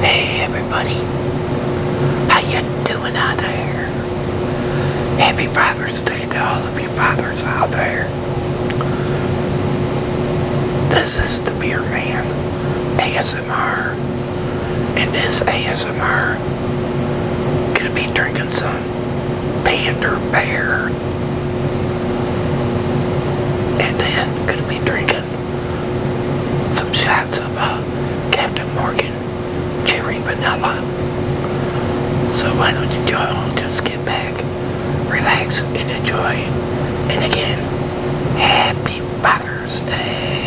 Hey everybody, how you doing out there? Happy Father's Day to all of you fathers out there. This is the Beer Man ASMR, and this ASMR gonna be drinking some Pander Bear, and then gonna be drinking some shots of uh, Captain Morgan cheering Vanilla. So why don't you all just get back, relax, and enjoy. And again, happy Father's Day.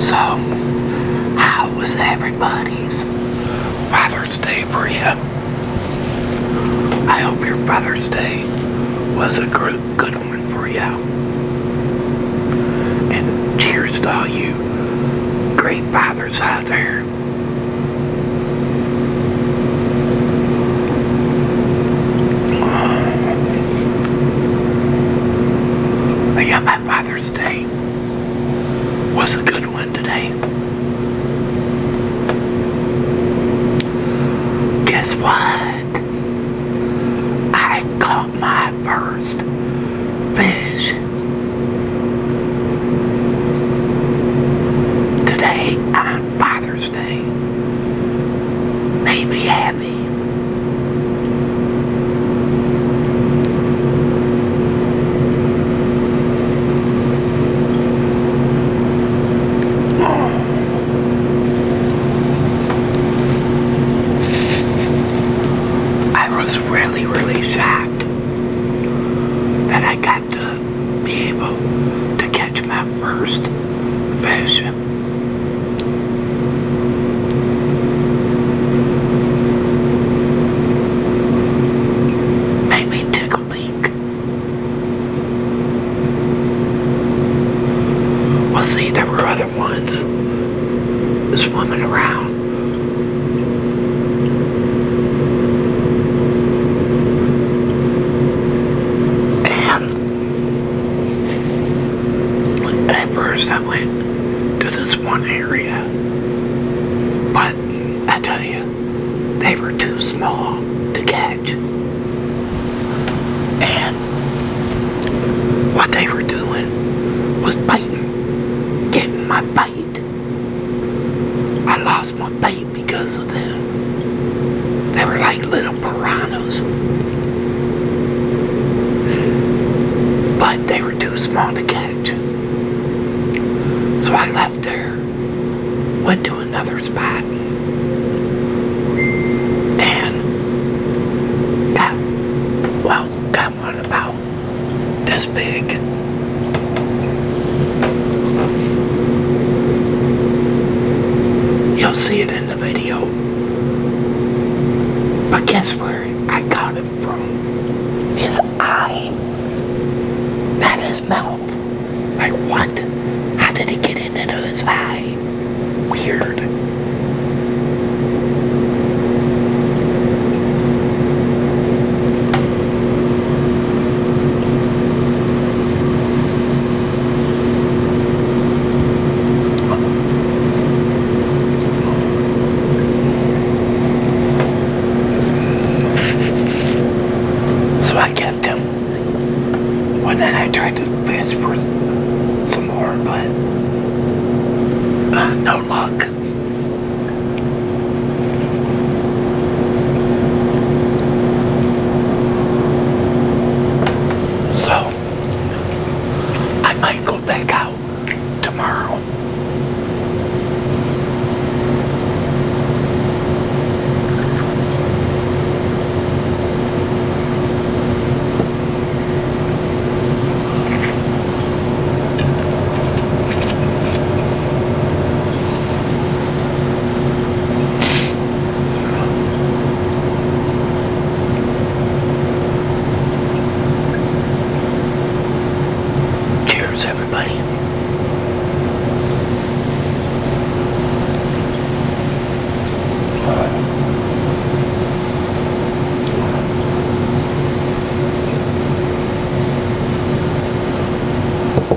So, how was everybody's Father's Day for I hope your Father's Day was a great, good one for you. And cheers to all you great fathers out there there. But yeah, my Father's Day was a good one today. Guess what? I caught my first fish today on Father's Day. May be happy. I was really, really shocked that I got to to be able to catch my first fish. Made me tickle pink. Well, see, there were other ones swimming around and at first went to this one area, but I tell you, they were too small to catch. And what they were doing was biting, getting my bite. I lost my bait because of them. They were like little piranhas. But they were too small to catch. So I left there, went to another spot, and got, well, got one about that's big. You'll see it in the video. But guess where I got it from? His eye. Not his mouth. Like what? How did he get into his eye? Weird. So I kept him. Well, then I tried to fish for some more, but uh, no luck. So, I might go back out tomorrow. Cheers, everybody. All right.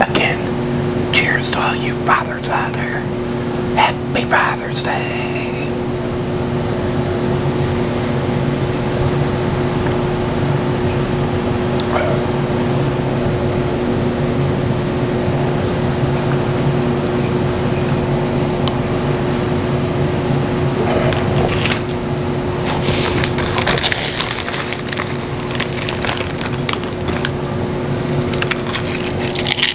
Again, cheers to all you Happy Father's Day.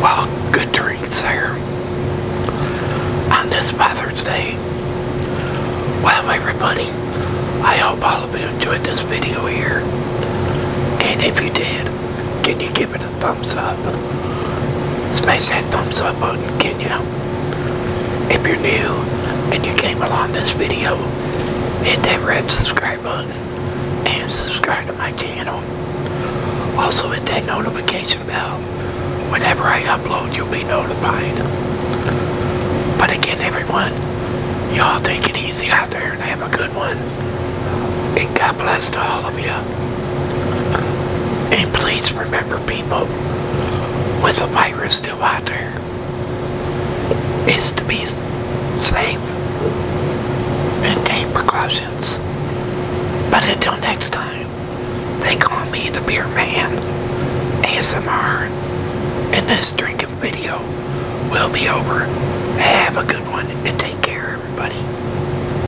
Well, good drinks there on this Father's Day. Well, everybody, I hope all of you enjoyed this video here. And if you did, can you give it thumbs up. Smash that thumbs up button, can you? If you're new and you came along this video, hit that red subscribe button and subscribe to my channel. Also hit that notification bell. Whenever I upload, you'll be notified. But again, everyone, y'all take it easy out there and have a good one. And God bless to all of you. And please remember, people, with the virus still out there, is to be safe and take precautions. But until next time, they on me the Beer Man ASMR, and this drinking video will be over. Have a good one and take care, everybody.